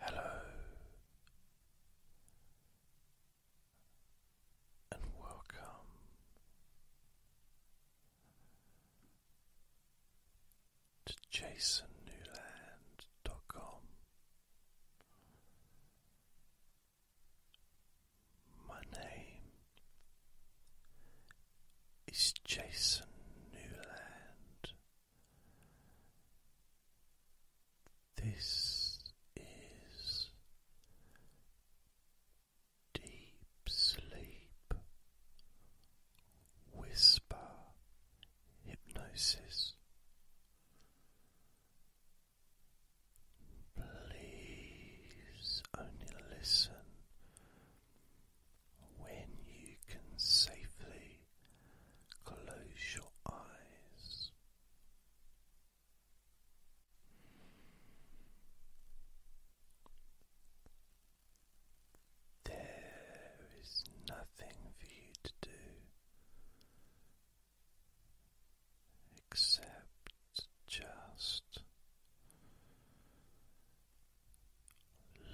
Hello, and welcome to JasonNewland.com. My name is Jason Newland. This is Deep Sleep Whisper Hypnosis. Please only listen when you can safely close your eyes. There is nothing for you to do except just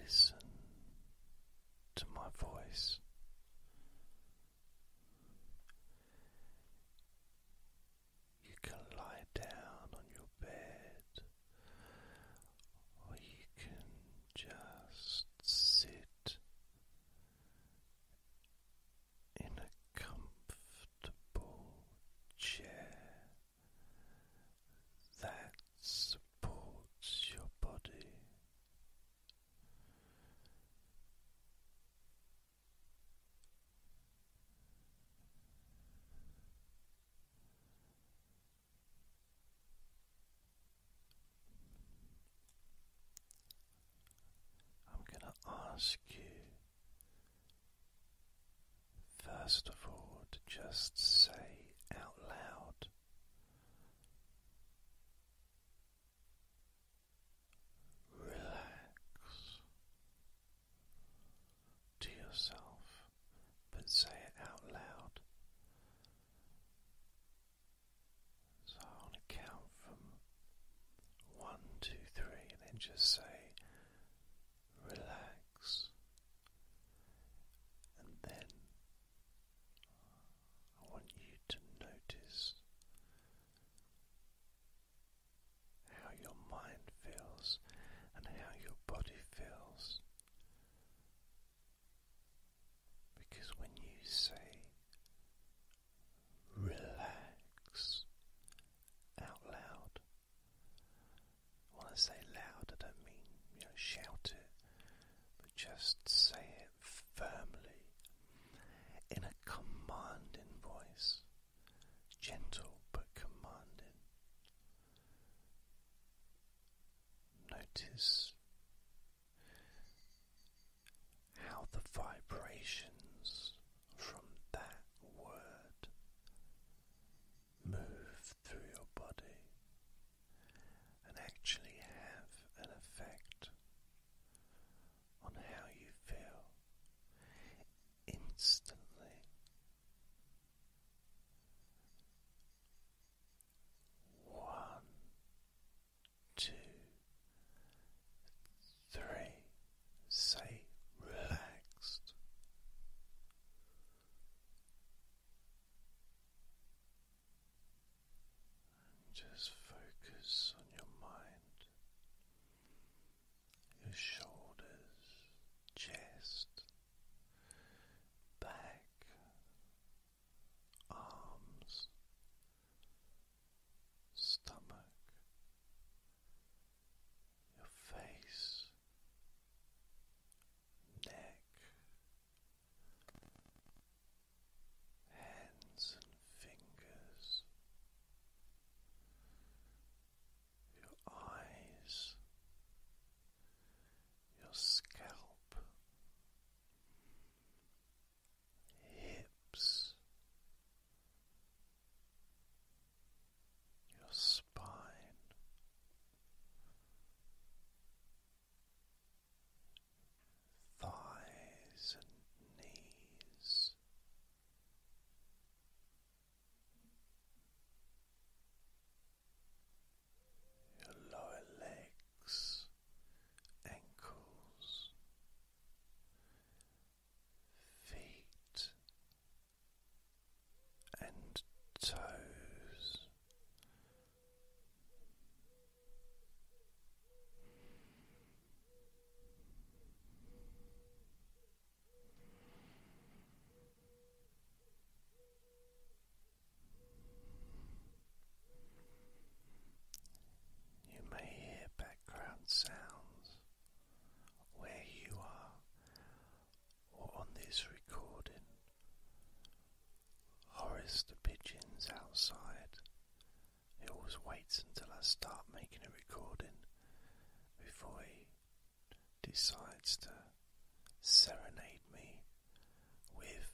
Listen to my voice. You can lie down on your bed, or you can just sit in a comfortable chair. That's supports your body. I'm going to ask you, first of all, to just say out loud Relax to yourself, but say it out loud. So on a count from one, two, three, and then just say relax, and then I want you to notice how your mind feels and how your body feels. Because when you say relax out loud, when I say loud, I don't mean you know shout it, but just say it firmly in a commanding voice, gentle but commanding. Notice how the vibrations from that word move through your body and actually have an effect on how you feel instantly. One, two, three, say relaxed just focus on your mind, your shoulders, chest, back, arms, stomach, your face, neck, hands and fingers, your eyes, your scalp, hips. Your spine, spine. Thighs and knees, your lower legs, ankles, feet, and toes. You may hear background sounds where you are or on this recording. Horace the pigeon's outside. He always waits until I start making a recording before he decides to serenade me with.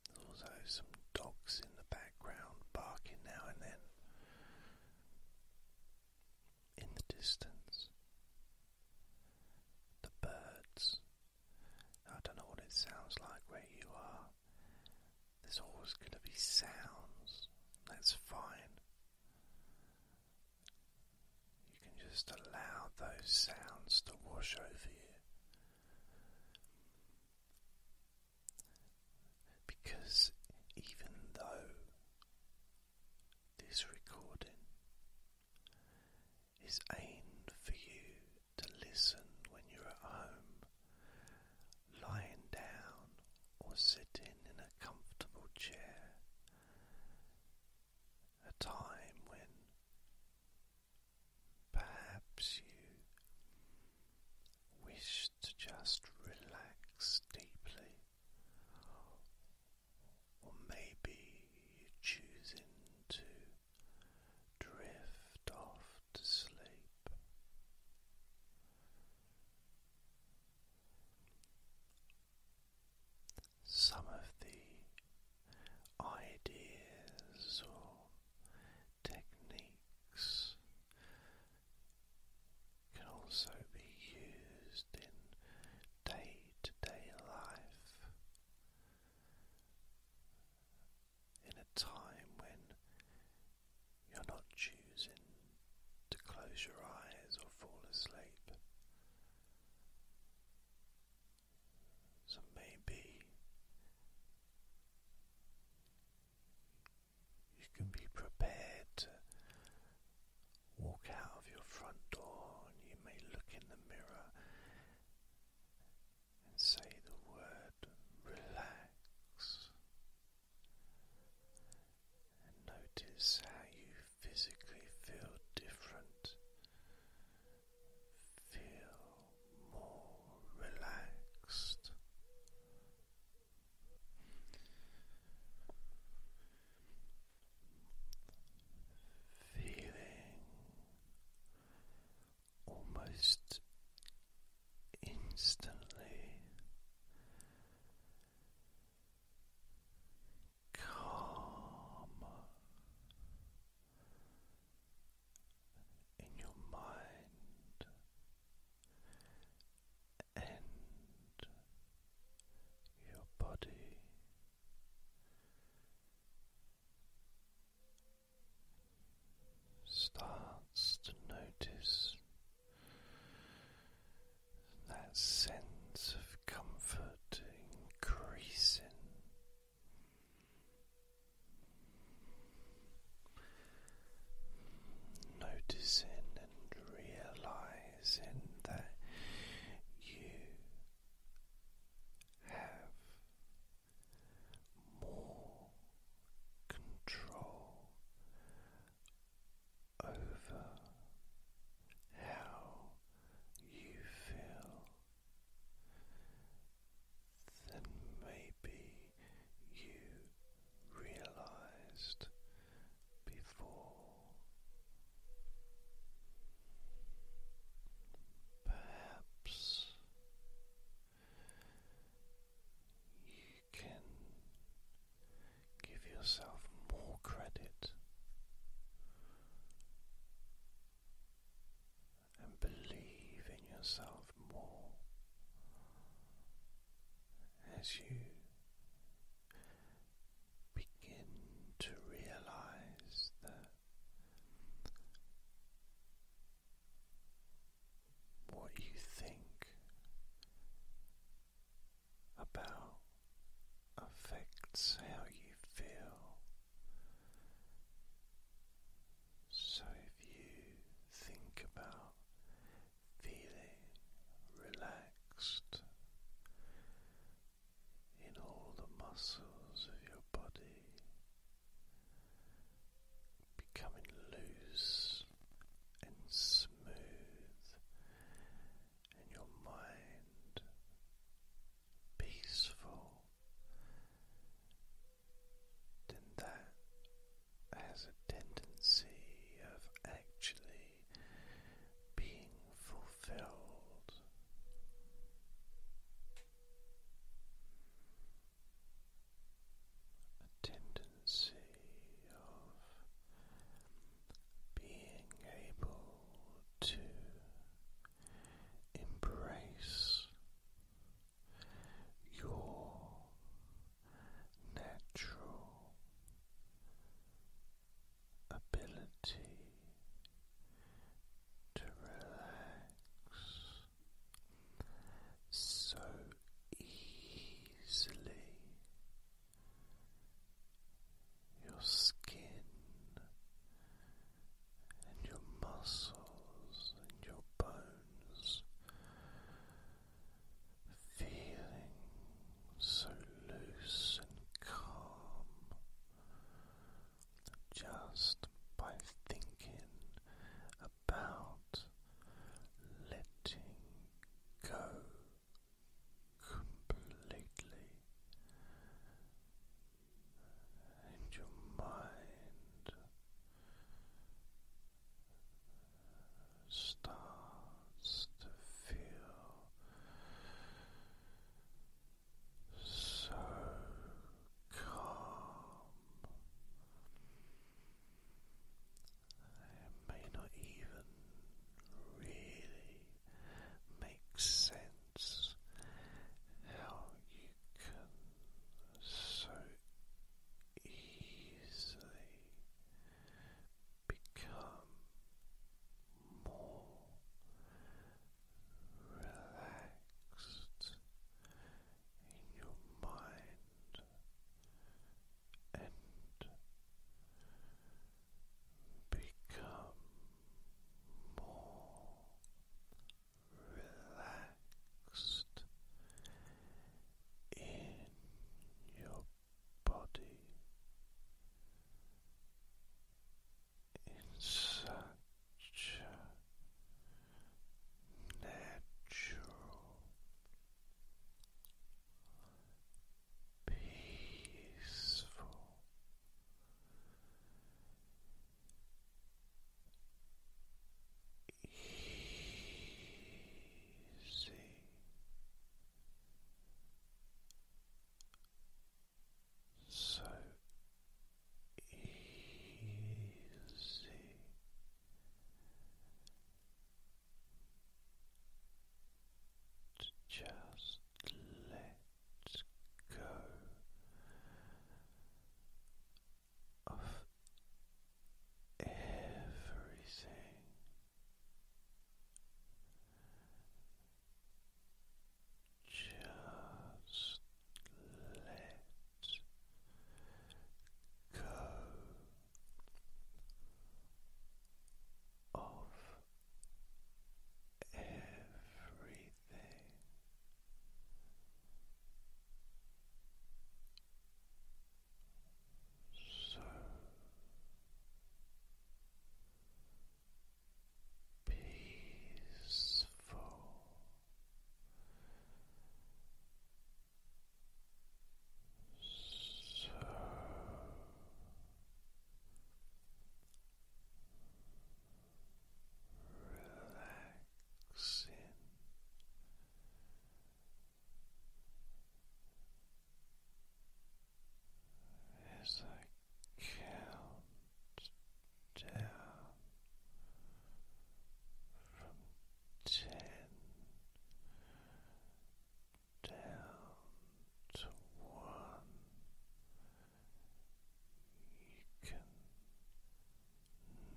There's also some dogs in the background barking now and then. In the distance, the birds. I don't know what it sounds like where you are. There's always going to be sounds. That's fine. You can just allow those sounds to wash over you. Because even though this recording is aimed for you to listen when you're at home, lying down, or sitting in a comfortable chair, a time when perhaps you wish to just relax deeply, or maybe choosing to drift off to sleep. Some of the ideas or techniques can also be used in day to day life in a time when you're not choosing to close your eyes or fall asleep. So maybe you can be prepared to walk out of your front door and you may look in the mirror and say the word relax and notice how you physically feel different. Feel more relaxed. Feeling almost instantly calm in your mind and your body. Starts to notice that sense of comfort increasing Noticing and realizing that you have more control over how you feel. Then maybe you realized before. Perhaps you can give yourself more credit and believe in yourself more as you begin to realize that what you think about affects how you feel. So, if you think about feeling relaxed in all the muscles of your body, becoming loose and smooth, and your mind peaceful then that has a tendency of actually being fulfilled. A tendency of being able to embrace your natural ability to relax so easily. Your skin and your muscles and your bones feeling so loose and calm just by thinking about letting go completely and your mind starts to feel so calm. It may not even really make sense that's how you can so easily become more relaxed in your mind and become more relaxed in your body in such natural, peaceful Easy. So easy. To just let go of everything. Just let go of everything so peaceful. So relaxing. As I count down from ten down to one, you can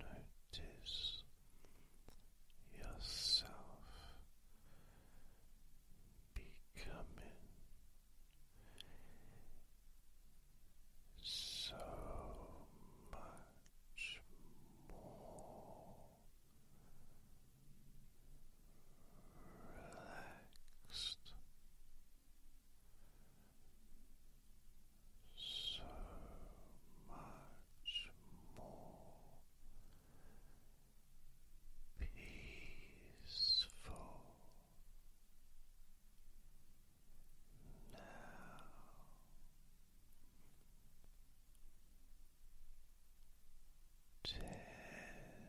notice yourself becoming so much more relaxed so much more peaceful now. Ten